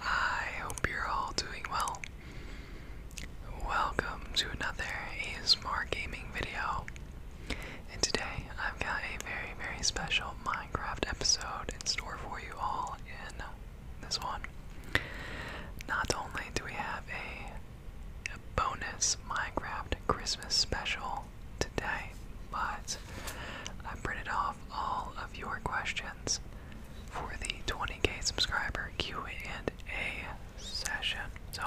I hope you're all doing well. Welcome to another ASMR gaming video. And today I've got a very, very special Minecraft episode in store for you all in this one. Not only do we have a, a bonus Minecraft Christmas special today, but I printed off all of your questions for the 20k subscriber Q&A session. So,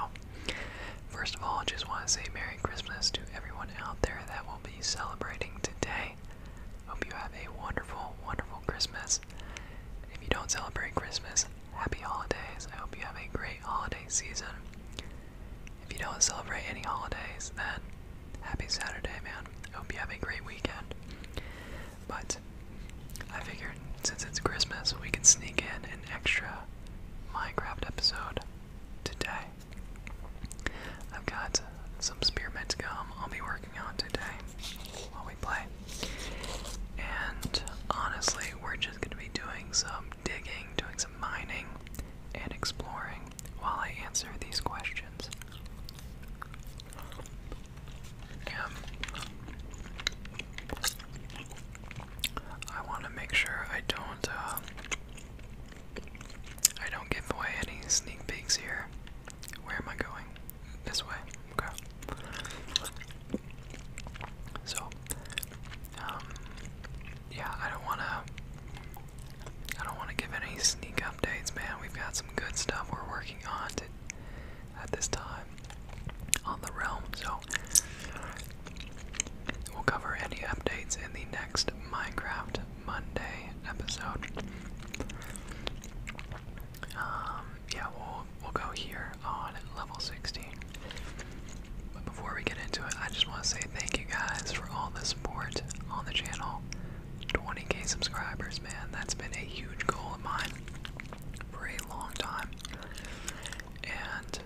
first of all, just want to say Merry Christmas to everyone out there that will be celebrating today. Hope you have a wonderful, wonderful Christmas. If you don't celebrate Christmas, happy holidays. I hope you have a great holiday season. If you don't celebrate any holidays, then happy Saturday, man. hope you have a great weekend. But I figured since it's Christmas, we can sneak in an extra Minecraft episode today. I've got some spearmint gum I'll be working on today while we play. And honestly, we're just going to be doing some digging, doing some mining, and exploring while I answer these questions. I want to make sure I don't uh, I don't give away any sneak peeks here. Where am I going? This way. Okay. So, um, yeah, I don't wanna I don't wanna give any sneak updates, man. We've got some good stuff we're working on at this time on the realm, so we'll cover any updates in the next Minecraft Monday episode. Um, yeah, we'll we'll go here on level 16. But before we get into it, I just want to say thank you guys for all the support on the channel. 20k subscribers, man. That's been a huge goal of mine for a long time. And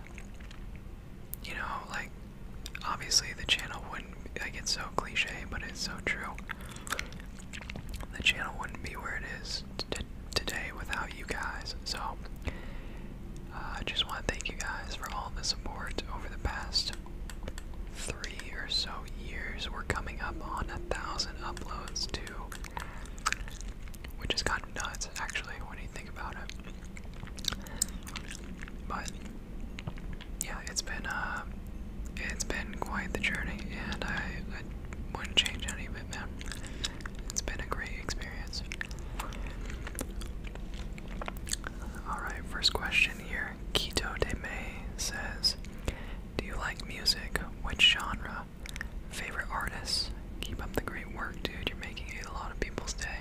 you know, like obviously the channel wouldn't like it's so cliche, but it's so true. The channel wouldn't be where it is today without you guys. So uh, I just want to thank you guys for all the support over the past three or so years, we're coming up on a thousand uploads too, which is kind of nuts actually when you think about it. But yeah, it's been uh, it's been quite the journey, and I wouldn't change any of it, man. It's been a great experience. All right, first question here listener, de May, says, Do you like music? Which genre? Favorite artists? Keep up the great work, dude. You're making a lot of people's day.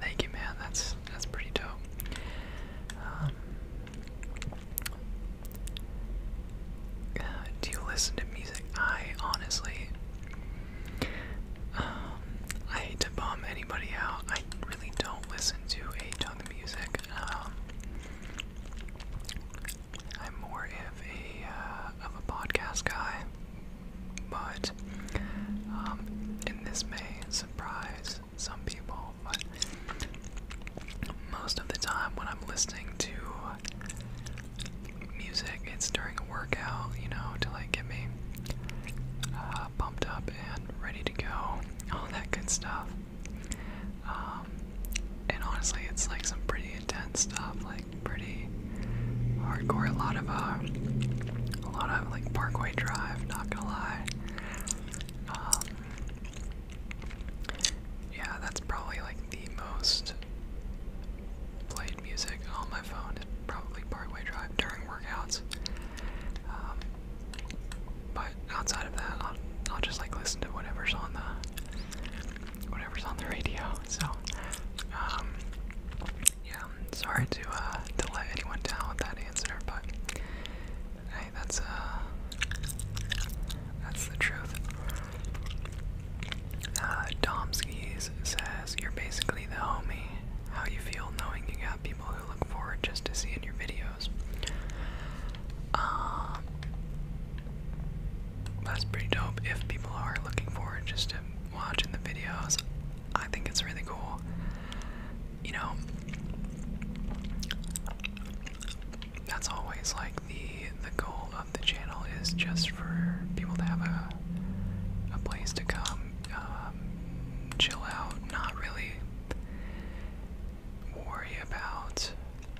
Thank you, man. That's that's pretty dope. Um, do you listen to music? I honestly, um, I hate to bomb anybody out. I really don't listen to a ton of music. Um, I'm more of a uh, of a podcast guy, but um, and this may surprise some people, but most of the time when I'm listening to music, it's during a workout, you know, to like get me uh, uh, pumped up and ready to go, all that good stuff. Um, and honestly, it's like some pretty intense stuff, like pretty hardcore. A lot of uh, a lot of like Parkway Drive. Not gonna lie. Um, yeah, that's probably like the most played music on my phone. Is probably Parkway Drive during workouts. Um, but outside of that, I'll, just like listen to whatever's on the whatever's on the radio. So, um, yeah, sorry to uh, to let anyone down with that answer, but hey, that's uh, that's the truth. Uh, Domskis says you're basically the homie how you feel knowing you got people who look forward just to seeing your videos. Um, that's pretty dope if people are looking forward just to watching the videos. I think it's really cool. You know, that's always like the the goal of the channel is just for people to have a a place to come, um, chill out, not really worry about,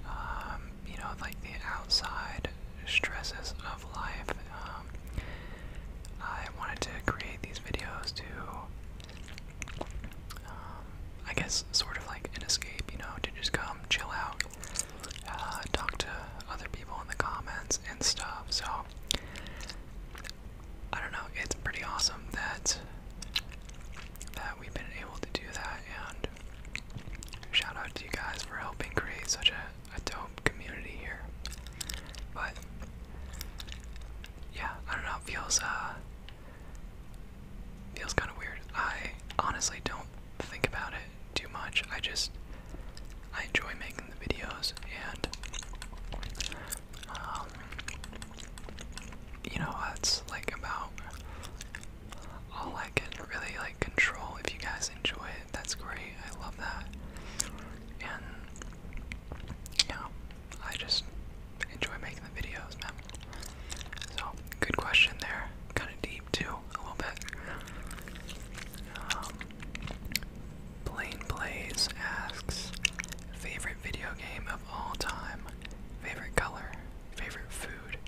um, you know, like the outside stresses of life. Um, I wanted to create these videos to, um, I guess, sort of like an escape, you know, to just come chill out, uh, talk to other people in the comments and stuff. So I don't know, it's pretty awesome that that we've been able to do that and shout out to you guys for helping create such a, a dope community here. But yeah, I don't know, it feels uh feels kinda weird. I honestly don't think about it too much. I just I enjoy making the videos and um, you know, that's like about all I can really like control. If you guys enjoy it, that's great. I love that. And yeah, I just enjoy making the videos, So, good question there. Kind of deep too, a little bit. Um, Plain Blaze asks, favorite video game of all time, favorite color, favorite food,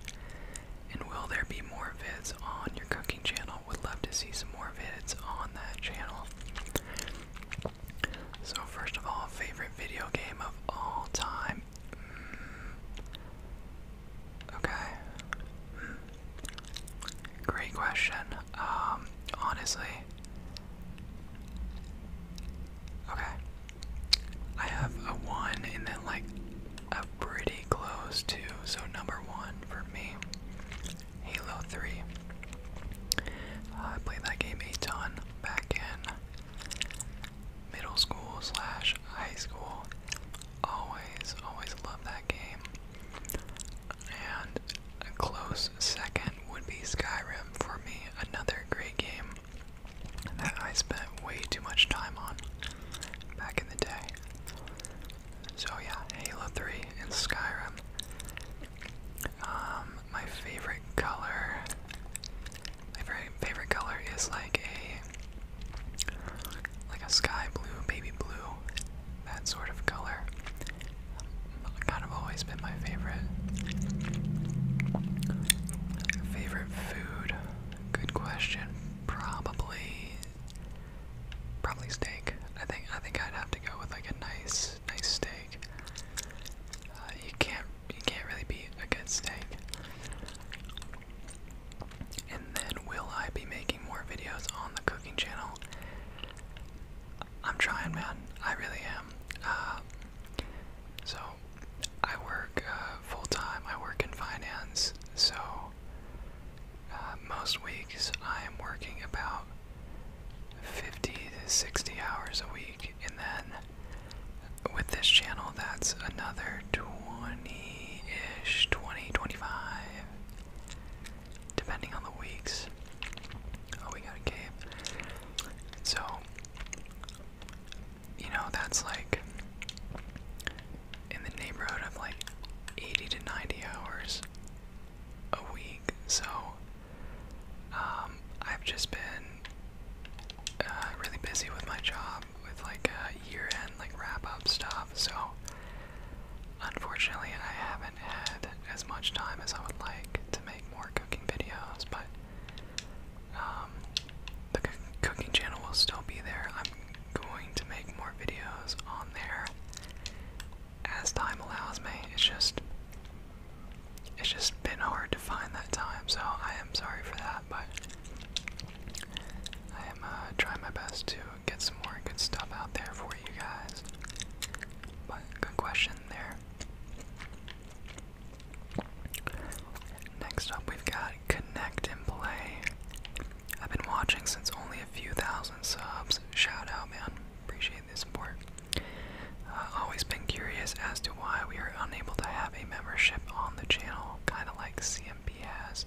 and will there be more vids on your cooking channel? Would love to see some more vids on that channel. So first of all, favorite video game of all time. Mm. Okay. Mm. Great question. Um, honestly. Okay. I have a one and then like a pretty close two. So number one for me, Halo 3. Uh, I played that game a ton back in middle school slash high school. Always, always loved that game. And a close second would be Skyrim for me, another great game that I spent way too much time on back in the day. So yeah, Halo 3 and Skyrim. Um, my favorite color, my very favorite color is like a, like a sky blue, baby blue, that sort of color kind of always been my favorite. Favorite food? Good question. Probably probably steak. I think I think I'd have to go with like a nice nice steak. Uh, you can't you can't really beat a good steak. And then will I be making more videos on the cooking channel? I'm trying, man. I really am. Uh, so, I work uh, full time. I work in finance. So, uh, most weeks I am working about 50 to 60 hours a week. And then with this channel, that's another 20 ish, 20, 25, depending on the weeks. Oh, we got a cave. So, you know, that's like in the neighborhood of like 80 to 90 hours a week. So, um, I've just been uh, really busy with my job with like year end, like wrap up stuff. So, unfortunately, I haven't had as much time as I would like to make make more cooking videos, but um, the cooking channel will still be there. I'm going to make more videos on there as time allows me. It's just it's just been hard to find that time, so I am sorry for that, but I am uh, trying my best to get some more good stuff out there for you guys. But good question there. Next up, we've got Connect and Play. I've been watching since only a few thousand subs. Shout out, man. Appreciate the support. Uh, always been curious as to why we are unable to have a membership on the channel, kind of like CMP has.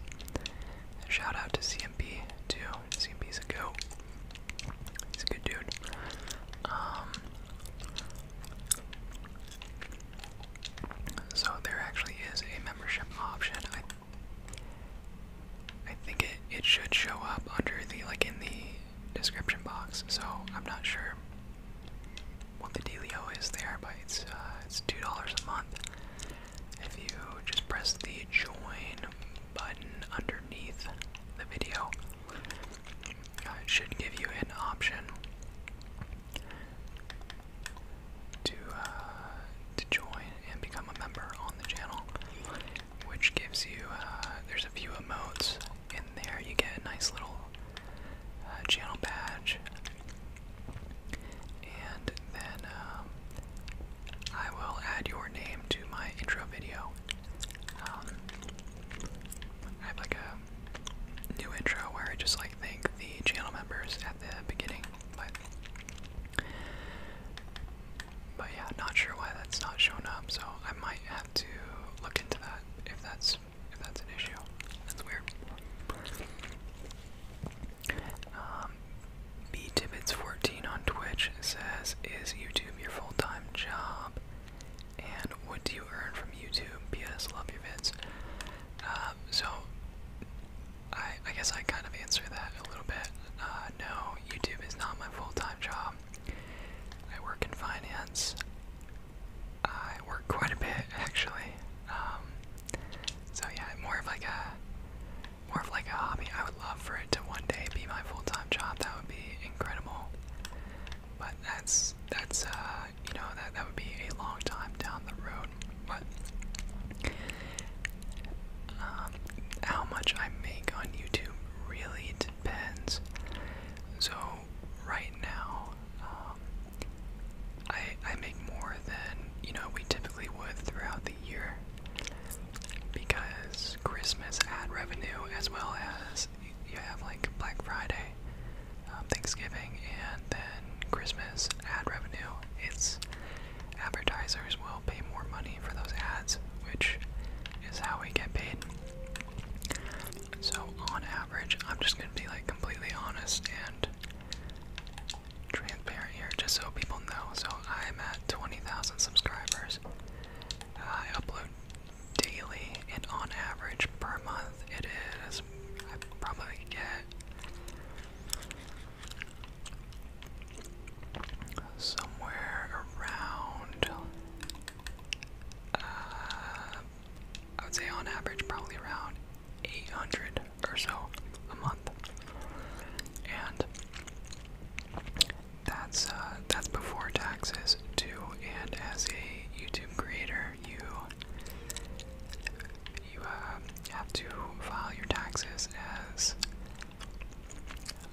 Shout out to CMP too. is a goat. He's a good dude. Um, so there actually is a membership option. I I think it it should show up under the like in the description box. So I'm not sure what the dealio is there, but it's uh, it's two dollars a month. If you just press the join button underneath the video, uh, should give you an option to uh, to join and become a member on the channel, which gives you uh, there's a few emotes in there. You get a nice little uh, channel badge, and then um, I will add your name to my intro video. Um, I have like a new intro where I just like thank the channel members at the beginning, but but yeah, not sure why that's not shown up, so I might have to look into that if that's if that's an issue. That's weird. Um, B Tibbits 14 on Twitch says, "Is YouTube your full-time job?" and what do you earn from YouTube? P.S. Love your vids. Uh, so, I, I guess I kind of answer that a little bit. Uh, no, YouTube is not my full-time job. I work in finance. I work quite a bit, actually. Um, so yeah, more of like a, more of like a hobby. I would love for it to one day be my full-time job. That would be incredible. But that's that's uh you know that that would be a long time down the road. But um, how much I make on YouTube really depends. So right now, um, I I make more than you know we typically would throughout the year because Christmas ad revenue as well as you have like Black Friday, um, Thanksgiving, and then Christmas ad revenue. It's advertisers will pay more money for those ads, which is how we get paid. So, on average, I'm just gonna be like completely honest and transparent here, just so people know. So, I'm at 20,000 subscribers. I upload daily, and on average per month, it is I probably get somewhere around. Uh, I would say on average probably around 800 or so a month, and that's uh, that's before taxes too. And as a YouTube creator, you you uh, have to file your taxes as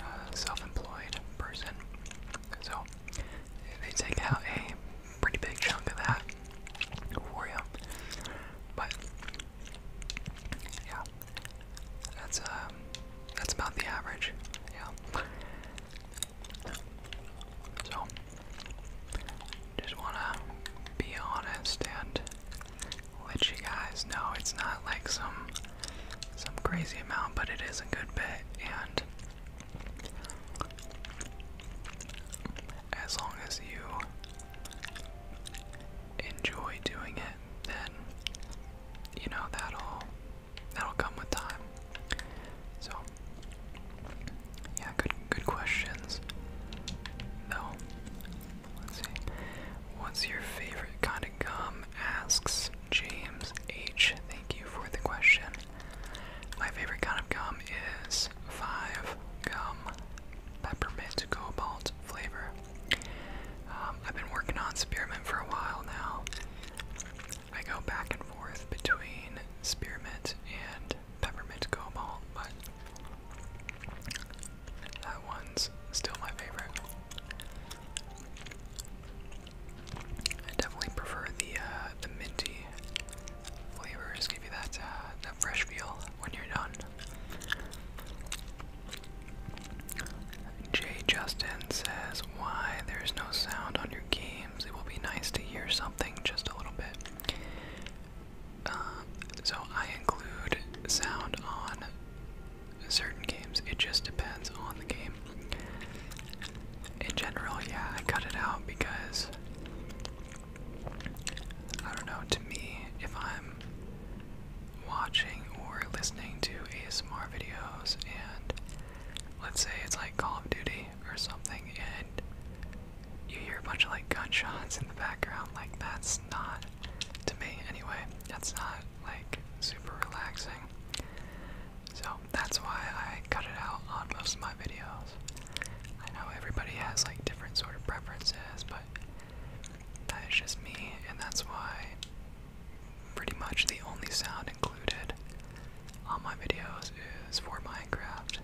a self-employed person. So they take out a pretty big chunk of that for you. But yeah, that's um, that's about the average. Yeah. So, just wanna be honest and let you guys know it's not like some some crazy amount, but it is a good bit, and as long as you enjoy doing it, then you know that'll that'll come with time. So yeah, good good questions. Though let's see. What's your favorite kind of gum? asks James H. Thank you for the question. My favorite kind of gum is five gum peppermint cobalt flavor. Um, I've been working on spearmint for a while now. I go back and forth between spearmint and peppermint gum ball, but that one's still my favorite. I definitely prefer the uh, the minty flavors. Give you that uh, that fresh feel when you're done. Jay Justin says, "Why there's no sound on your key?" it will be nice to hear something just a little bit. Um, so I include sound on certain games. It just depends on the game. In general, yeah, I cut it out because I don't know. To me, if I'm watching or listening to ASMR videos and let's say it's like Call of Duty or something, and you hear a bunch of like gunshots in the background, like that's not, to me anyway, that's not like super relaxing. So that's why I cut it out on most of my videos. I know everybody has like different sort of preferences, but that is just me, and that's why pretty much the only sound included on my videos is for Minecraft.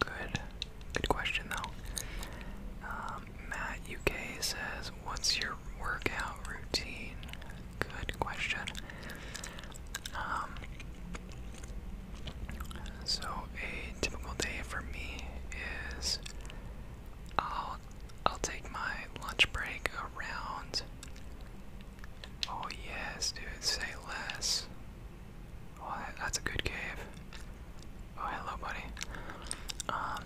Good, good question though. Um, Matt UK says, "What's your workout routine?" Good question. Um, so a typical day for me is I'll I'll take my lunch break around. Oh, yes, dude, say less. Oh, that's a good cave. Oh, hello, buddy. Um,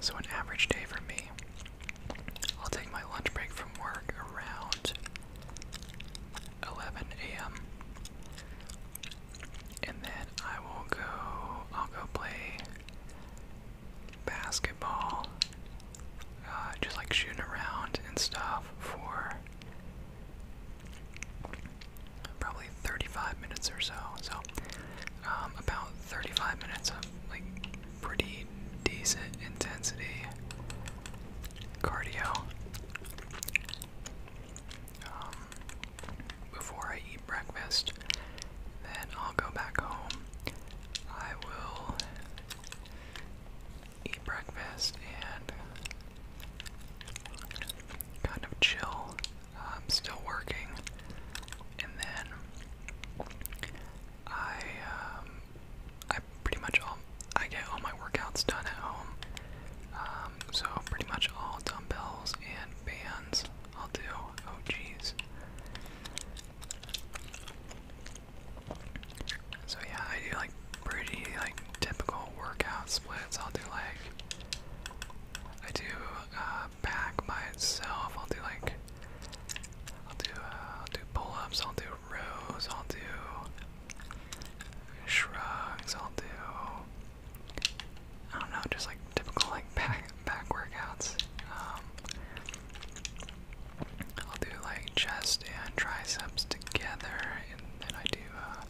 so, an average day for me. I'll take my lunch break from work around 11 a.m. And then I will go, I'll go play basketball, uh, just like shooting around and stuff for probably 35 minutes or so. So, um, about 35 minutes of like pretty decent intensity cardio. Um, before I eat breakfast. Then I'll go back home. I will eat breakfast and kind of chill. I'm still working. And then I, um, I pretty much all, I get all my workouts done at home. Um, so pretty much all dumbbells and bands I'll do. Oh, jeez. So yeah, I do like pretty like typical workout splits. I'll do like I do uh, back by itself. I'll do like I'll do uh, I'll do pull-ups. I'll do rows. I'll do shrugs. I'll do I don't know, just like typical like back back workouts. Um, I'll do like chest and triceps together, and then I do uh,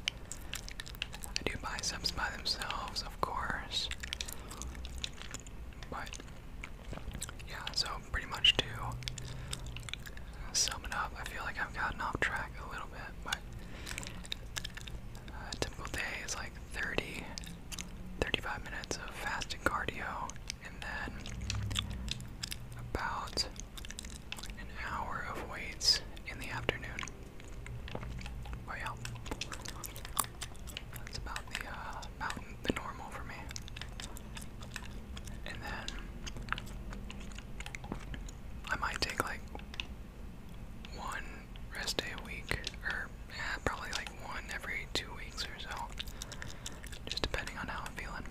I do biceps by themselves, of course. But yeah, so pretty much to sum it up, I feel like I've gotten off track a little bit, but. Uh, typical day is like 30 35 minutes of fasting cardio, and then about an hour of weights in the afternoon. yeah, that's about the uh, about the normal for me. And then I might take like one rest day a week, or yeah, probably like one every two weeks or so, just depending on how I'm feeling.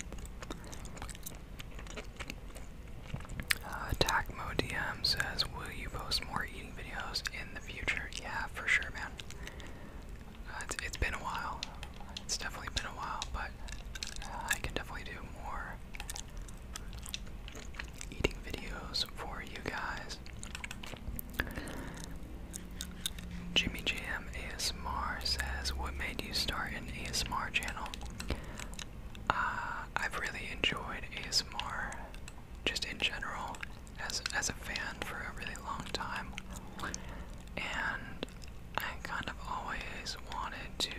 Uh, DM says, "Will you post more eating videos in the future?" Yeah, for sure, man. Uh, it's been a while. It's definitely been a while, but uh, I can definitely do more eating videos for you guys. Jimmy JM ASMR says, What made you start an ASMR channel? Uh, I've really enjoyed ASMR just in general as, as a fan for a really long time. And I kind of always wanted to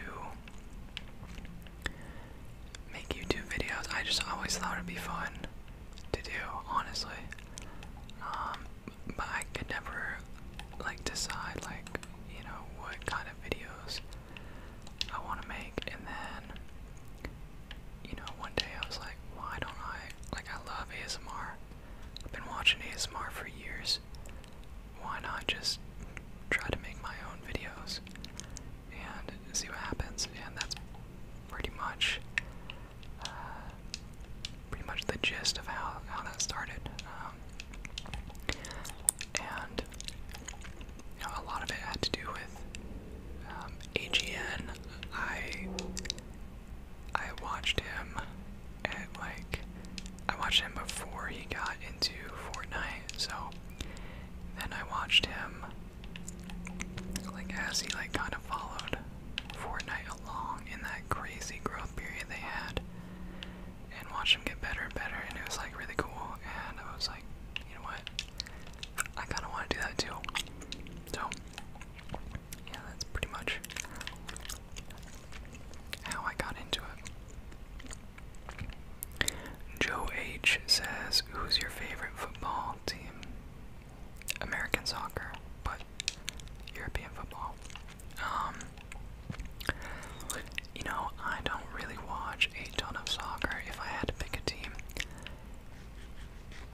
make YouTube videos. I just always thought it'd be fun to do, honestly. Um, but I could never like decide like you know what kind of videos I want to make, and then you know one day I was like, why don't I like I love ASMR. I've been watching ASMR for years. Why not just try to make my own videos and see what happens? And that's pretty much uh, pretty much the gist of how, how that started. Um, and you know, a lot of it had to do with um, AGN. I I watched him at like I watched him before he got into Fortnite, so then I watched him like as he like kind of followed Fortnite along in that crazy growth period they had and watched him get better and better and it was like really cool and I was like, you know what? I kinda wanna do that too. So yeah, that's pretty much how I got into it. Joe H says, Who's your favorite football team? American soccer, but European football. Um, you know, I don't really watch a ton of soccer. If I had to pick a team,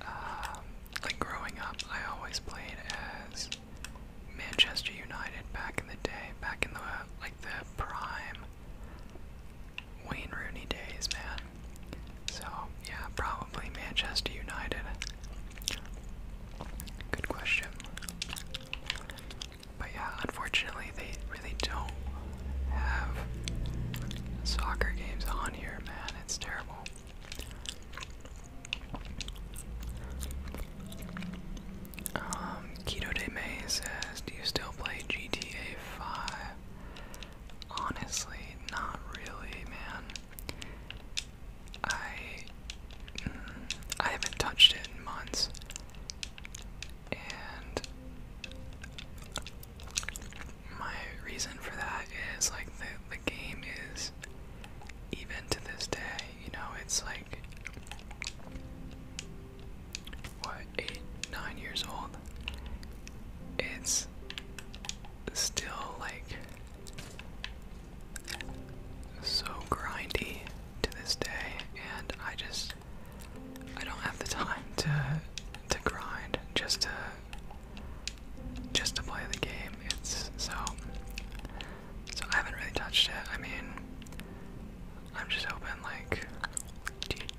um, like growing up, I always played as Manchester United back in the day, back in the like the prime Wayne Rooney days, man. So, yeah, probably Manchester United. Good question. But yeah, unfortunately, they really don't have soccer games on here, man. It's terrible. Keto um, De May says, Do you still play GTA 5? Honestly, not really, man. I mm, I haven't touched it in months. And my reason for that is like the the game is even to this day, you know, it's like what, eight, nine years old. It's still like so grindy to this day and I just I don't have the time to to grind just to just to play the game. It's so so I haven't really touched it. I mean I'm just hoping like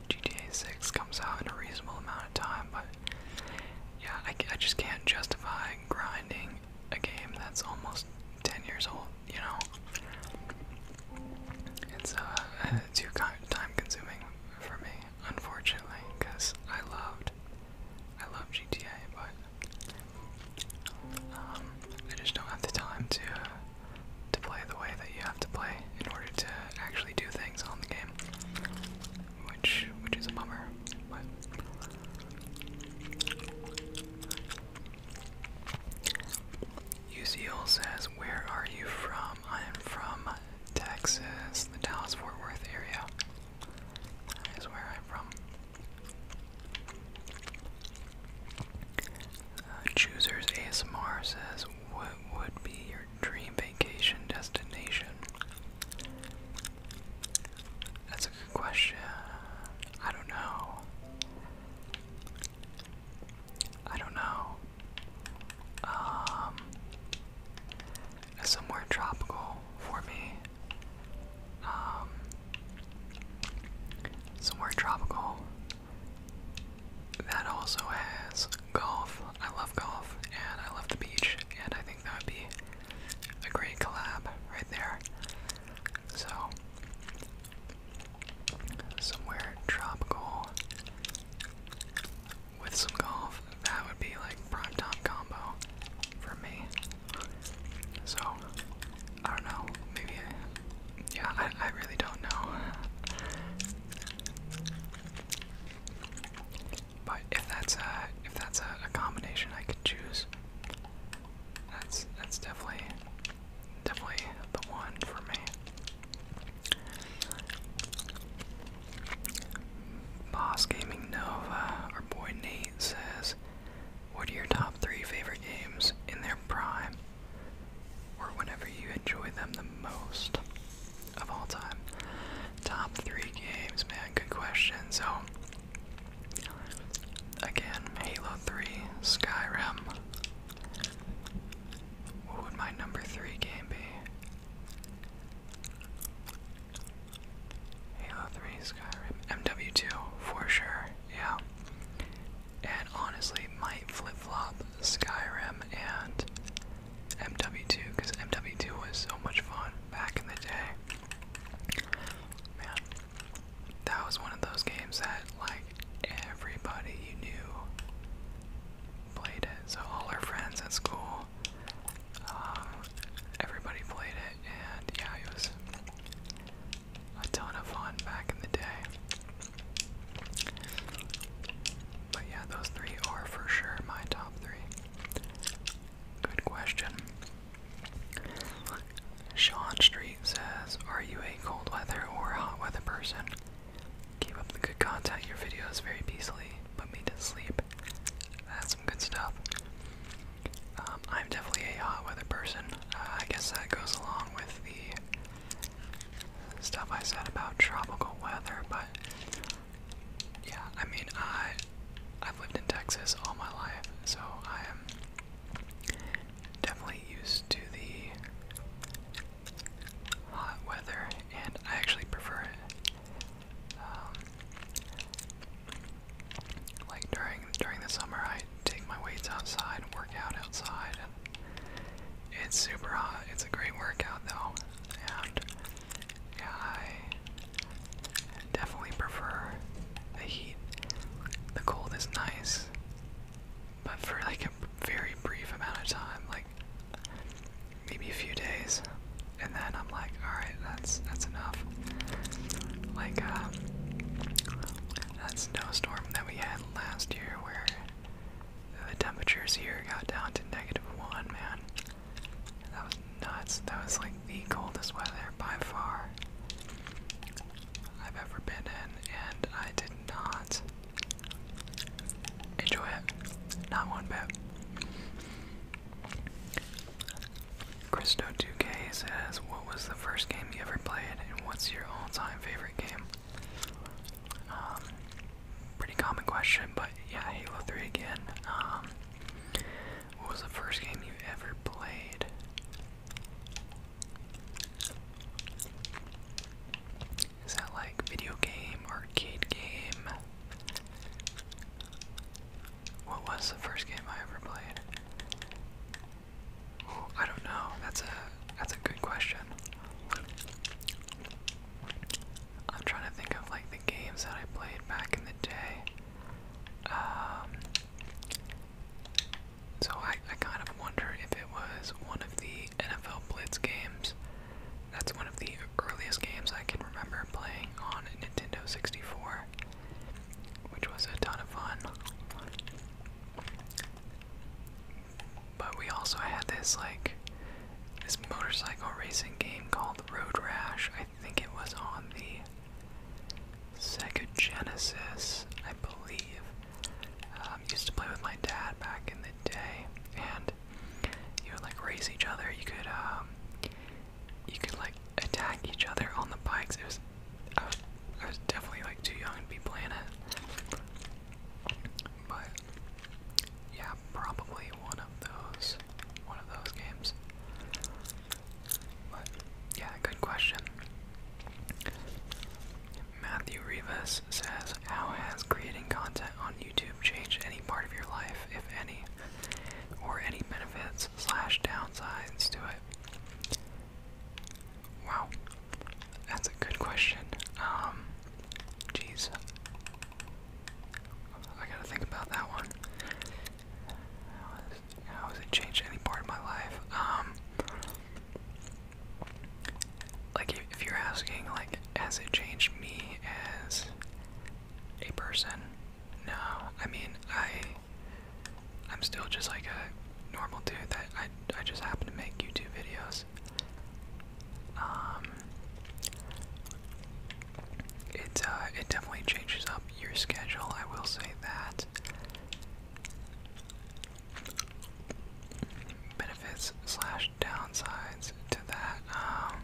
GTA 6 comes out in a reasonable amount time, but yeah, I, just can't justify grinding a game that's almost 10 years old, you know? It's, uh, too time consuming for me, unfortunately, because I loved, I love GTA, but, um, I just don't have the time to, to play the way that you have to play in order to actually do things on the game which which is a bummer. But UCL says, "Where are you from?" I am from Texas, the Dallas-Fort Worth area. That is where I'm from. Uh, Choosers ASMR says, "What would be your dream vacation destination? That's a good question. I don't know. I don't know. Um, somewhere tropical for me. Um, somewhere tropical that also has golf. I love golf and I love the beach, and I that would be a great collab right there. So, somewhere tropical with some golf, that would be like prime time combo for me. So, I don't know, maybe, yeah, I, I really don't know. But if that's a if that's a, combination I could choose, that's that's definitely definitely the one for me. Boss Gaming Nova, our boy Nate says, "What are your top three favorite games in their prime, or whenever you enjoy them the most?" of all time. Top three games, man. Good question. So, again, Halo 3, Skyrim. What would my number three game be? Halo 3, Skyrim. MW2, for sure. Yeah. And honestly, might flip flop Skyrim and MW2 because MW2 was so much fun back in the day. Man, that was one of those games that like everybody you knew played it. So all our friends at school, um, everybody played it, and yeah, it was a ton of fun back in the day. But yeah, those three are for sure my top three. Good question. Sean Street says, Are you a cold weather or hot weather person? Keep up the good content. Your videos very peacefully put me to sleep. That's some good stuff. Um, I'm definitely a hot weather person. Uh, I guess that goes along with the stuff I said about tropical weather, but yeah, I mean, I I've lived in Texas all my life, so I am definitely used to the hot weather, and I actually prefer it. Um, like during during the summer, I take my weights outside, work out outside. It's super hot. It's a great workout though, and yeah, I definitely prefer the heat. The cold is nice, but for like a very brief amount of time, like maybe a few days, and then I'm like, all right, that's that's enough. Like um, that snowstorm that we had last year, where the temperatures here got down to negative one, man. That was nuts. That was like the coldest weather by far I've ever been in, and I did not enjoy it. Not one bit. Christo2k says, What was the first game you ever played, and what's your all time favorite game? Um, pretty common question, but yeah, Halo 3 again. Um, what was the first game you ever played? Is that like video game, arcade game? What was the first game I ever played? I don't know. That's a that's a good question. I'm trying to think of like the games that I played back in the day. Um, so I, I kind of wonder if it was one of the NFL Blitz games. That's one of the earliest games I can remember playing on Nintendo 64, which was a ton of fun. But we also had this like this motorcycle racing game called Road Rash. I think it was on the Sega Genesis, I believe. Um, used to play with my dad back in the day, and you would like race each other. You could, um, you could like attack each other on the bikes. It was, I was, I was definitely like too young to be playing it, but yeah, yeah, probably one of those, one of those games. But yeah, good question. Matthew Rivas says, "How has creating content on YouTube changed any part of your life, if any, or any benefits slash downsides to it?" Wow, that's a good question. Um, jeez, I gotta think about that one. how has it changed any part of my life? Um, like if you're asking, like, has it changed me as a person? No, I mean, I, I'm still just like a normal dude that I, I just happen to make YouTube videos. Um, it uh, it definitely changes up your schedule. I will say that benefits slash downsides to that. Um,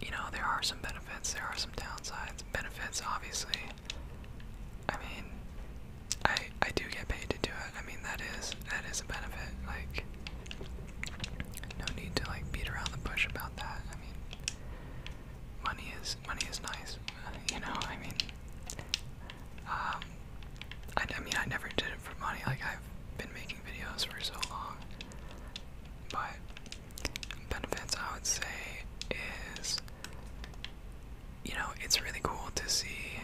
you know, there are some benefits. There are some downsides. Benefits, obviously. I mean, I I do get paid to do it. I mean, that is that is a benefit. Like, no need to like beat around the bush about that. I mean, money is money is nice, you know. I mean, um, I, I mean I never did it for money. Like I've been making videos for so long, but benefits I would say is, you know, it's really cool to see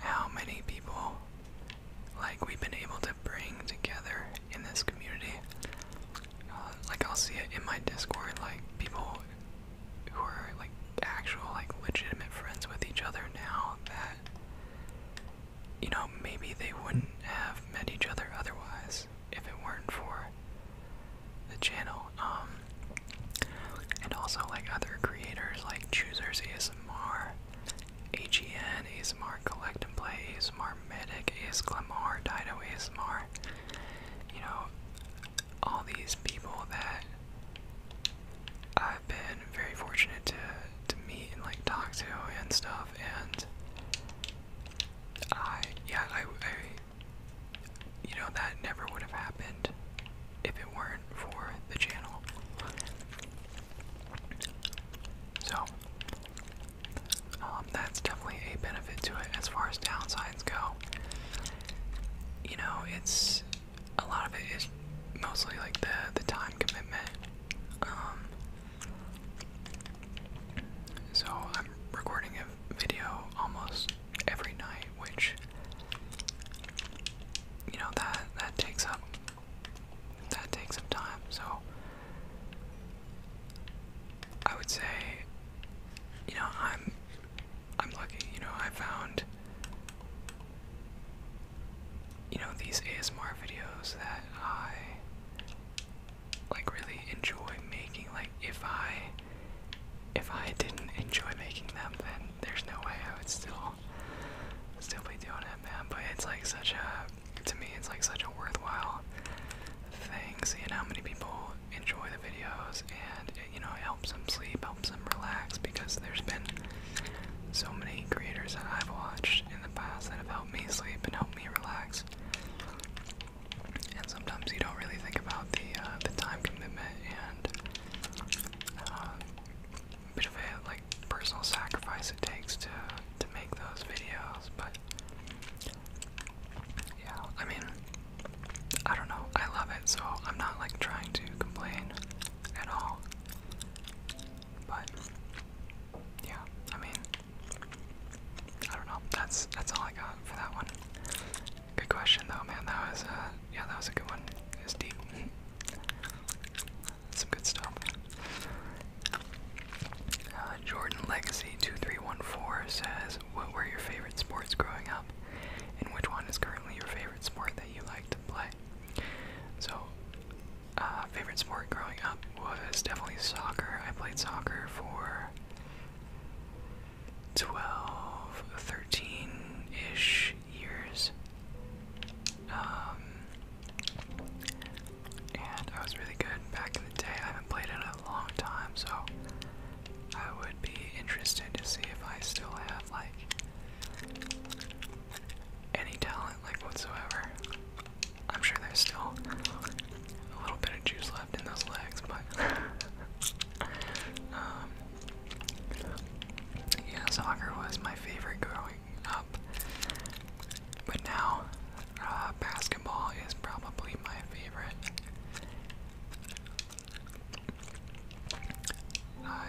how many people like we've been able to bring together in this community. Uh, like I'll see it in my Discord, like people who are like actual, like legitimate friends with each other now that you know maybe they wouldn't have met each other otherwise if it weren't for the channel. Um, and also like other creators like Choosers ASMR AGN, ASMR, Collect and Play, is ASMR, Medic, is AS Clemar, is ASMR. You know, all these people that I've been very fortunate to to meet and like talk to and stuff and I yeah I, I you know that never would have happened if it weren't for the channel so um, that's definitely a benefit to it as far as downsides go. You know, it's a lot of it is mostly like the the time commitment. Um, so I'm recording a video almost every night, which you know that that takes up that takes some time. So I would say, you know, I'm I'm lucky. You know, I found you know these ASMR videos that I like really enjoy making. Like if I if I didn't enjoy making them, then there's no way I would still still be doing it, man. But it's like such a to me it's like such a worthwhile thing seeing how many people enjoy the videos and it, you know it helps them sleep helps them relax because there's been so many creators that I've watched in the past that have helped me sleep and helped me relax and sometimes you don't really think about the uh, the time commitment and uh, bit of a like personal sacrifice it takes to make those videos, but yeah, I mean, I don't know. I love it, so I'm not like trying to complain at all. But yeah, I mean, I don't know. That's that's all I got for that one. Good question though, man. That was uh yeah, that was a good one. It deep. some good stuff. Uh, Jordan Legacy 2314 says, What were your favorite sports growing up? And which one is currently your favorite sport that you like to play? So, uh, favorite sport growing up was definitely soccer. I played soccer for 12, 13 ish years. Um, and I was really good back in the day. I haven't played in a long time, so I would be interested to see if I still have like any talent like whatsoever. I'm sure there's still a little bit of juice left in those legs, but um, yeah, soccer was my favorite growing up. But now uh, basketball is probably my favorite. I,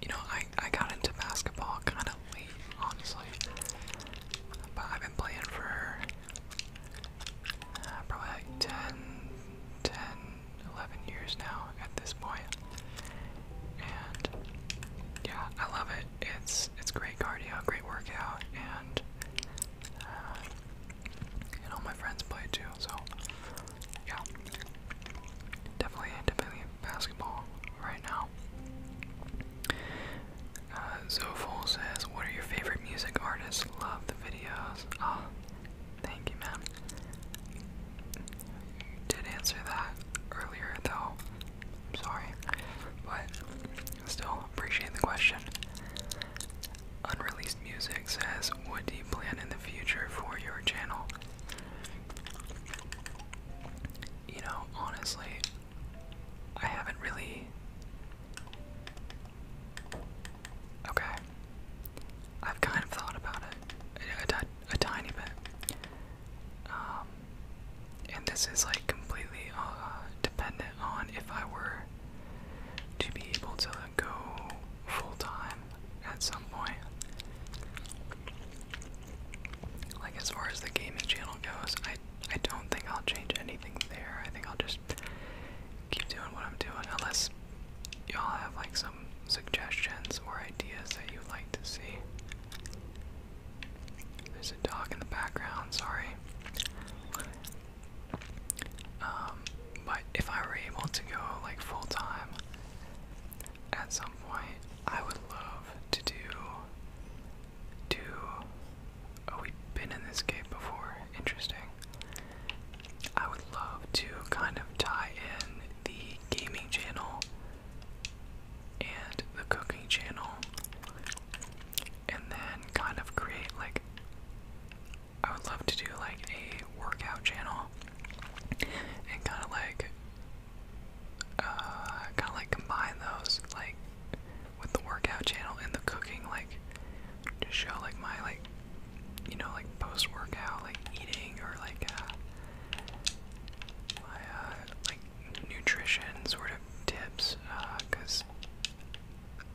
you know, I, I got into basketball kind of late, honestly. But I've been playing for uh, probably like 10, years now at this point. And yeah, I love it it's it's great cardio, great workout, and uh, and all my friends play too. So yeah, definitely definitely basketball right now. Uh, Zofol says, "What are your favorite music artists? Love the videos." Ah, oh, thank you, man. Did answer that earlier though. I'm sorry. But still appreciate the question. Unreleased Music says, What do you plan in the future for your channel? You know, honestly, I haven't really. Okay. I've kind of thought about it a tiny bit. Um, and this is like completely uh, dependent on if I were to be able to go full time at some point. Like as far as the gaming channel goes, I I don't think I'll change anything there. I think I'll just keep doing what I'm doing unless y'all have like some suggestions or ideas that you'd like to see. There's a dog in the background, sorry. Um, but if I were able to go like full time at some point, I would love to do do oh, we've been in this game before. Interesting. I would love to kind of tie in the gaming channel and the cooking channel and then kind of create like I would love to do like a workout channel and kind of like uh kind of like combine those like with the workout channel and the cooking like to show like my like you know like post workout like eating or like uh, my uh, like nutrition sort of tips, because uh,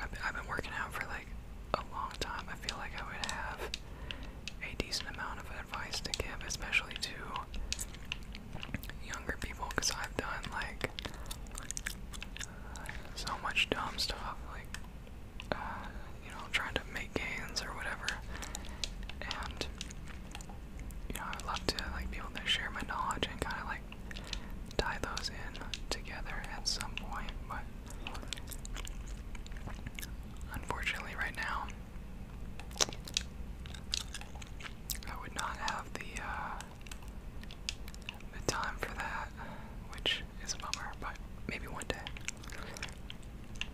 I've, I've been working out for like a long time. I feel like I would have a decent amount of advice to give, especially to younger people, because I've done like so much dumb stuff, like uh, you know, trying to make gains or whatever, and you know, I love to like be able to share my knowledge and kind of like tie those in together at some point, but unfortunately, right now, I would not have the uh, the time for that, which is a bummer, but maybe one day.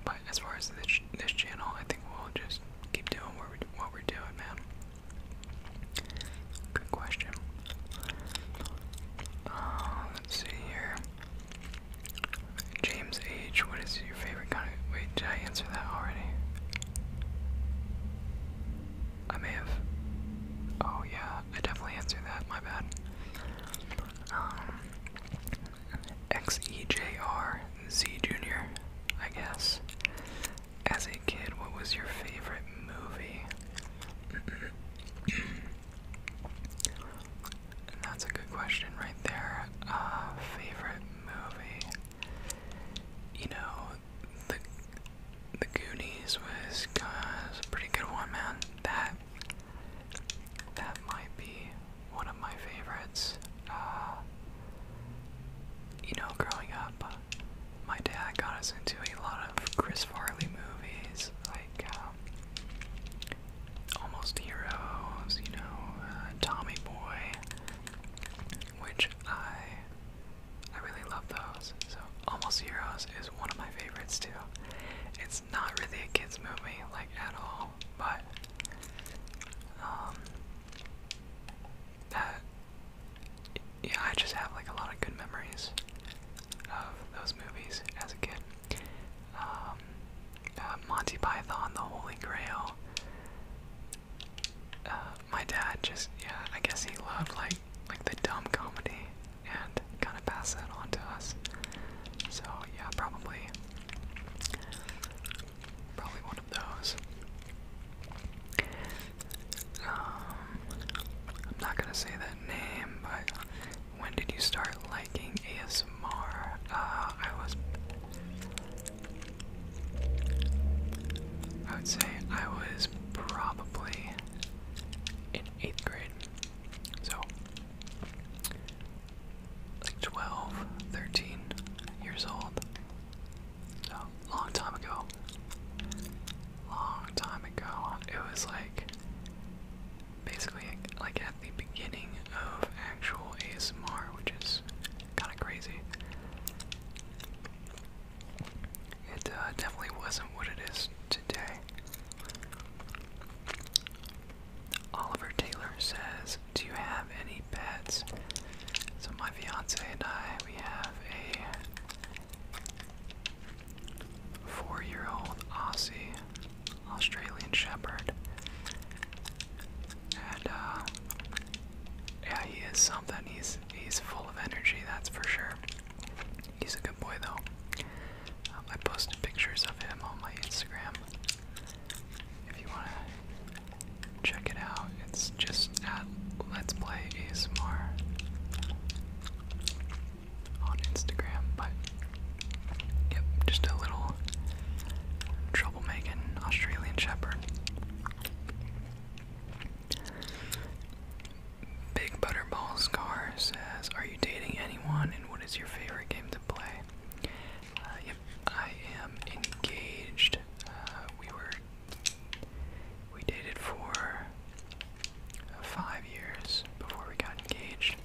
But as far as this, this channel, I think we'll just keep doing what we what we're doing, man. Good question. Uh, let's see here. James H, what is your favorite kind of. Wait, did I answer that already? I may have. Oh, yeah, I definitely answered that, my bad. Um, Junior, I guess. As a kid, what was your favorite movie? that's a good question right there. Uh, favorite movie? You know, the the Goonies was, a pretty good one, man. That that might be one of my favorites. Uh, you know, growing up, uh, my dad got us into a lot of Chris Farley movies, like um, Almost Heroes, you know, uh, Tommy Boy, which I I really love those. So Almost Heroes is one of my favorites too. It's not really a kids movie, like at all, but um, yeah, I just have like a lot of good memories of those movies as a kid. Um, uh, Monty Python, The Holy Grail. Uh, my dad just yeah, I guess he loved like like the dumb comedy and kind of pass that on to us. So yeah, probably Probably one of those. Um, I'm not gonna say that name, but when did you start liking ASMR? Uh, I was. I would say I was probably in eighth grade. So, like 12, 13 years old oh, long time ago. Long time ago. It was like basically like at the beginning of actual ASMR, which is kind of crazy. It uh, definitely wasn't what it is today. Oliver Taylor says, Do you have any need So my fiance and I, we have a four-year-old Aussie Australian Shepherd, and uh, yeah, he is something. He's he's full of energy, that's for sure. He's a good boy though. Um, I posted pictures of him on my Instagram. If you wanna check it out. It's just at Let's Play More on Instagram, but yep, just a little troublemaking Australian Shepherd. Big Butterball Scar says, Are you dating anyone and what is your favorite game to play? Uh, yep, I am engaged. Uh, we were we dated for five years before we got engaged.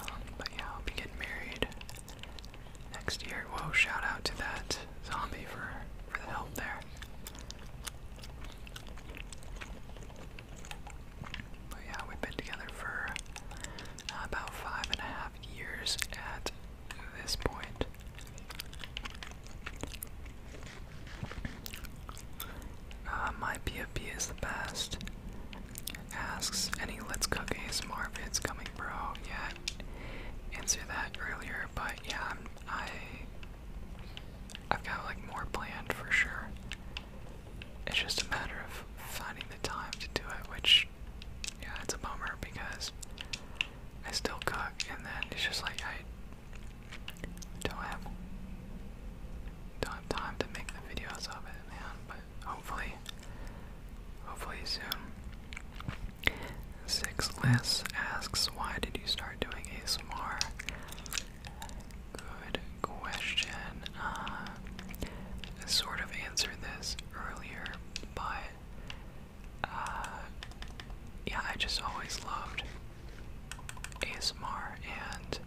Um, but yeah, I'll be getting married next year. Whoa, shout out to that zombie for, for the help there. But yeah, we've been together for uh, about five and a half years at at this point. Uh, my PFP is the best. Asks any Let's Cook ASMR vids coming, bro. Yeah, answer that earlier, but yeah, I'm, I, i i have got like more planned for sure. It's just a matter of finding the time to do it, which yeah, it's a bummer because I still cook and then it's just like I don't have don't have time to make the videos of it, man. But hopefully hopefully soon. Six lists asks why did you start doing ASMR? Good question. Uh, I sort of answered this earlier, but uh, yeah, I just always loved ASMR and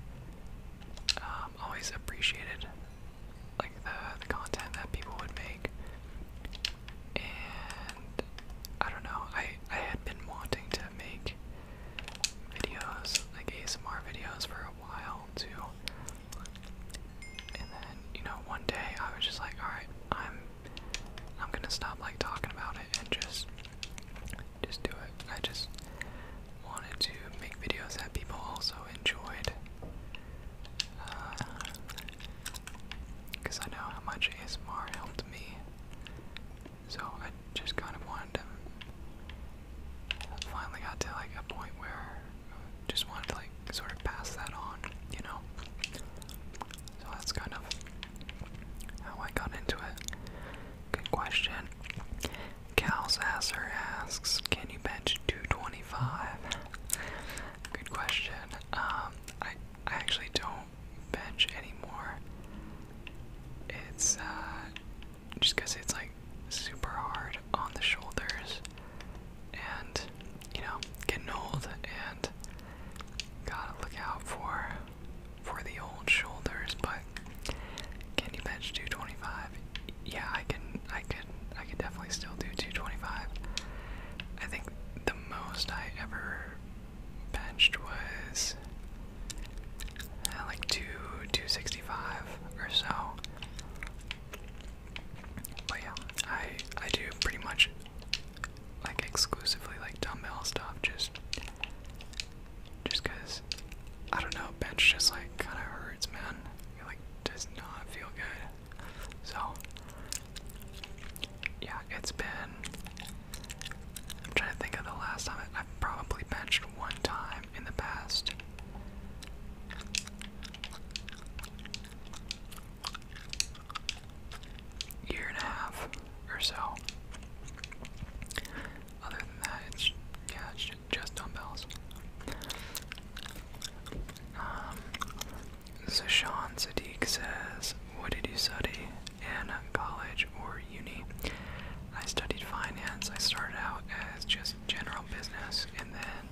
um, always appreciated like the, the content that people would make. And I don't know, I, I had been wanting to make videos, like ASMR videos for a while too. And then, you know, one day I was just like, alright, I'm I'm gonna stop like talking about it and just just do it. I just wanted to make videos that people also enjoyed. Because uh, I know how much ASMR helped me. So I just kind of wanted to. Finally got to like a point where just wanted to like sort of pass that on, you know. So that's kind of how I got into it. Good question. Cal's Asser asks, can you bench 225? Good question. Um, I I actually don't bench anymore. It's uh, just because it's like super hard on the shoulders and you know getting old and gotta look out for for the old shoulders but can you bench 225 yeah i can i can i can definitely still do 225 i think the most i ever benched was uh, like 2 265 or so but yeah, I I do pretty much like exclusively like dumbbell stuff just just cause I don't know, bench just like kinda hurts man. It like does not feel good. So yeah, it's been I'm trying to think of the last time I, have probably bench one time in the past year and a half or so. Other than that, it's yeah, it's just dumbbells. Um, so Sean says, "What did you study in college or uni?" I studied finance. I started out as just general business, and then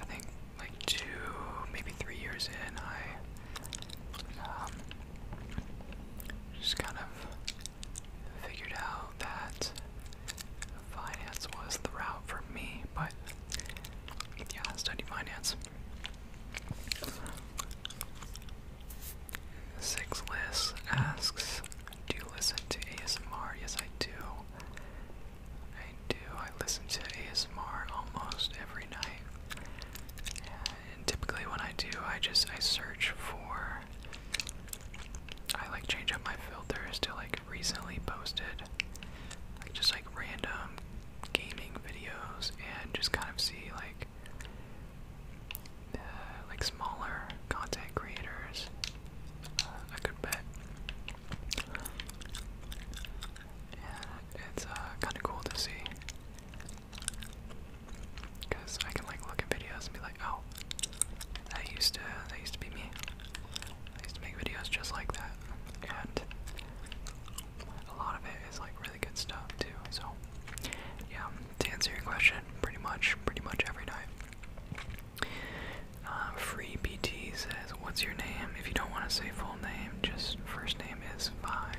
I think like two, maybe three years in, I um, just kind of figured out that finance was the route for me, but yeah, I studied finance. Six Lists asks, do you listen to ASMR? Yes, I do. I do. I listen to ASMR almost every night. And typically when I do, I just I search for I like change up my filters to like recently posted like just like random gaming videos and just kind of see like uh, like smaller content creators. I uh, could bet and it's uh, kind of cool to see. Cause I can like look at videos and be like, oh, that used to that used to be me. I used to make videos just like that, and a lot of it is like really good stuff too. So, yeah, to answer your question, pretty much, pretty much every night. Um, free BT says, "What's your name? If you don't want to say full name, just first name is fine."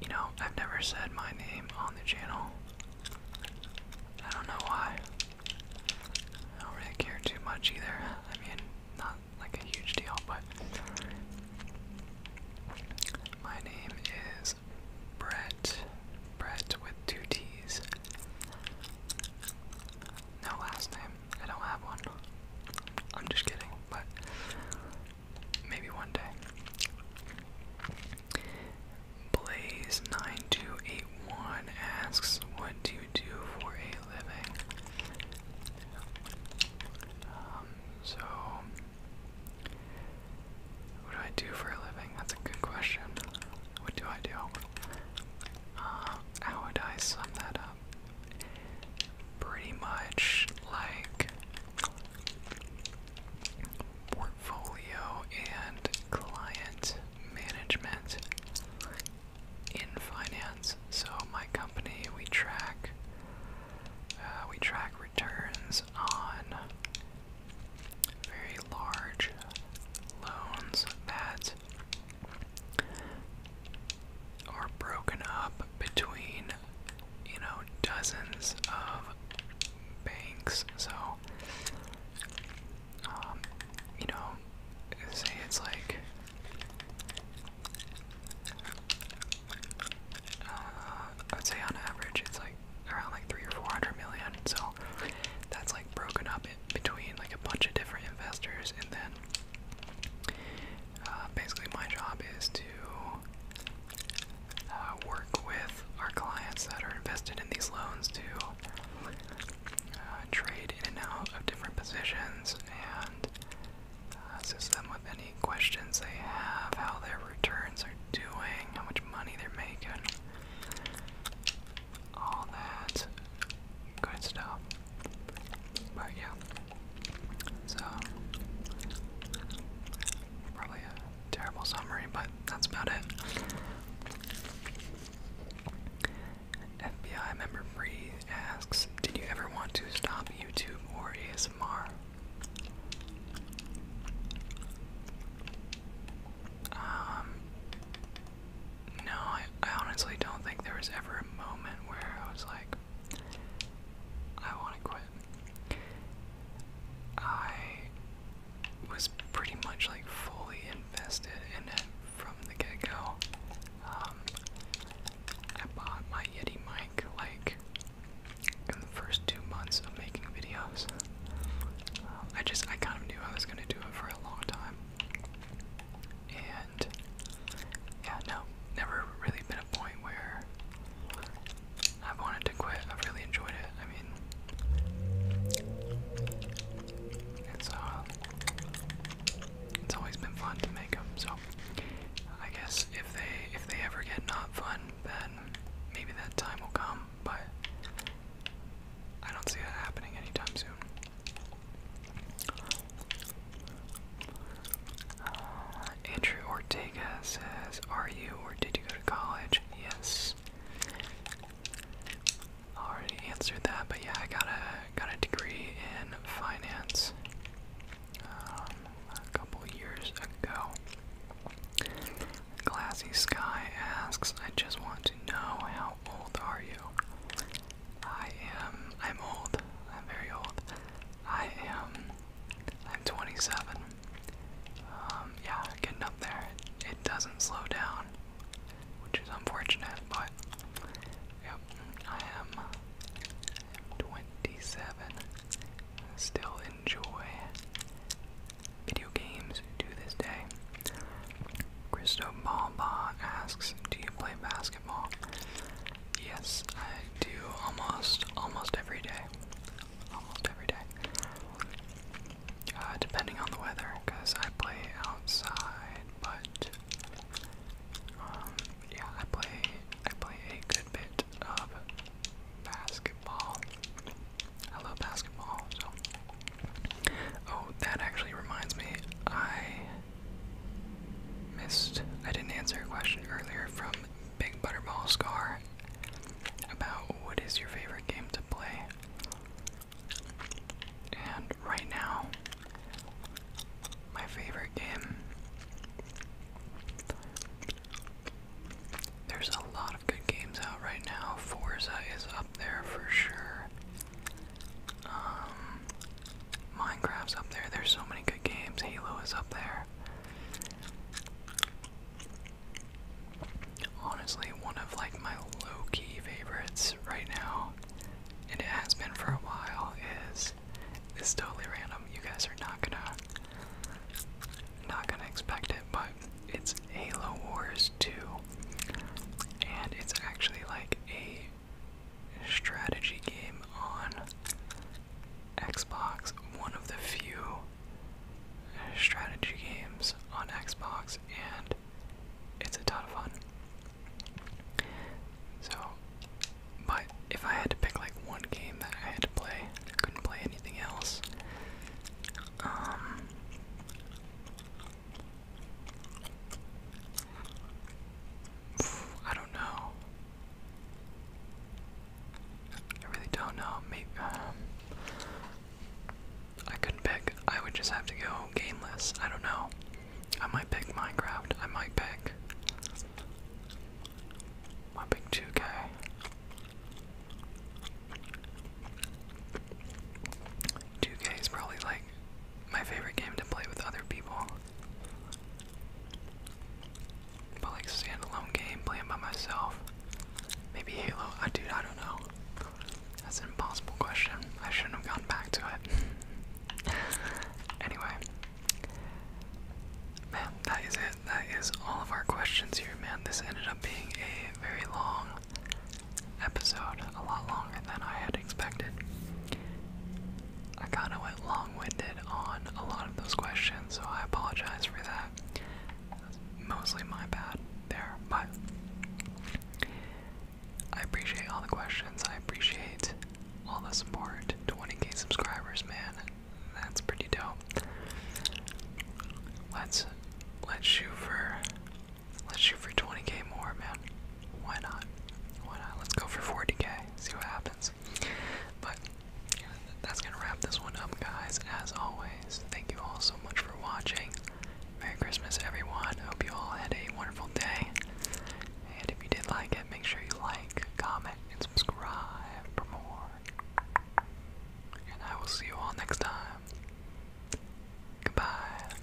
You know, I've never said my name on the channel. I don't know why. I don't really care too much either. I mean, not like a huge deal, but my name is Brett. Brett with two T's no last name. I don't have one. I'm just kidding, but maybe one day. Blaze9281 asks, What do you do for a living? Um, so, what do I do for a living? That's a good question. What do I do? Uh, how would I sum that up? pretty much like portfolio and client management in finance. So my company, we track uh, we track returns on very large loans that that are broken up between, you know, dozens of banks. So, um, you know, say it's like. Uh, I'd say on average it's like around like three or four hundred million. So that's like broken up in between like a bunch of different investors, and then uh, basically, my job is to uh, work with our clients that are invested in these loans to uh, trade in and out of different positions and uh, assist them with any questions they have, how their returns are doing, how much money they're making all that good stuff. But yeah, so probably a terrible summary, but that's about it. FBI member Free asks, did you ever want to stop YouTube or ASMR? Um, no, I, I honestly don't think there was ever a moment where I was like, I want to quit. I was pretty much like fully invested in it from the get go. Um, I bought my Yeti mic like in the first two months of making videos. Uh, I just, I kind of knew I was going to do it for a long time yeah, no, never really been a point where I've wanted to quit. I've really enjoyed it. I mean, it's uh, it's always been fun to make them. So I guess if they if they ever get not fun, then maybe that time will come. But I don't see that happening anytime soon. Uh, Andrew Ortega says, Are you or did you go to college? Yes. Already answered that, but yeah, I got a got a degree in finance um, a couple years ago. Glassy Sky asks, I just want to know how old are you? I am. I'm old. I'm very old. I am. I'm 27. Um, yeah, getting up there. It doesn't slow down, which is unfortunate, but. Yep, I am. I'm 27. Still enjoy video games to this day. Christo Baba asks, Do you play basketball? Yes, I do almost almost every day. Almost every day. Uh, depending on the weather, because I play outside, but um, yeah, I play I play a good bit of basketball. I love basketball. So, oh, that actually reminds me. I missed. I didn't answer a question earlier from Big Butterball Scar about what is your favorite game to play. And right now, my favorite game. There's a lot of good games out right now. Forza is up there for sure. Um, Minecraft's up there. There's so many good games. Halo is up there. Honestly, one of like my low-key favorites right now, and it has been for a while, is this totally random. You guys are not gonna not gonna expect it, but it's Halo Wars 2. And it's actually like a strategy game on Xbox, one of the few strategy games on Xbox, and it's a ton of fun. So, but if I had to pick like one game that I had to play, I couldn't play anything else. Um, I don't know. I really don't know. Maybe um, I couldn't pick. I would just have to go gameless. I don't know. I might pick Minecraft. I might pick. I might pick 2K. Two K is probably like my favorite game to play with other people. But like standalone game, playing by myself. Maybe Halo. I dude, I don't know. That's an impossible question. I shouldn't have gone back to it. anyway. Man, that is it. That is all of our questions here, man. This ended up being a very long episode, a lot longer than I had would I kind of went long-winded on a lot of those questions, so I apologize for that. That's mostly my bad there, but I appreciate all the questions. I appreciate all the support. 20k subscribers, man. That's pretty dope. Let's let's shoot for let's shoot for 20k more, man why not? Why not? Let's go for 40k, see what happens. But that's gonna wrap this one up, guys. As always, thank you all so much for watching. Merry Christmas, everyone. Hope you all had a wonderful day. And if you did like it, make sure you like, comment, and subscribe for more. And I will see you all next time. Goodbye.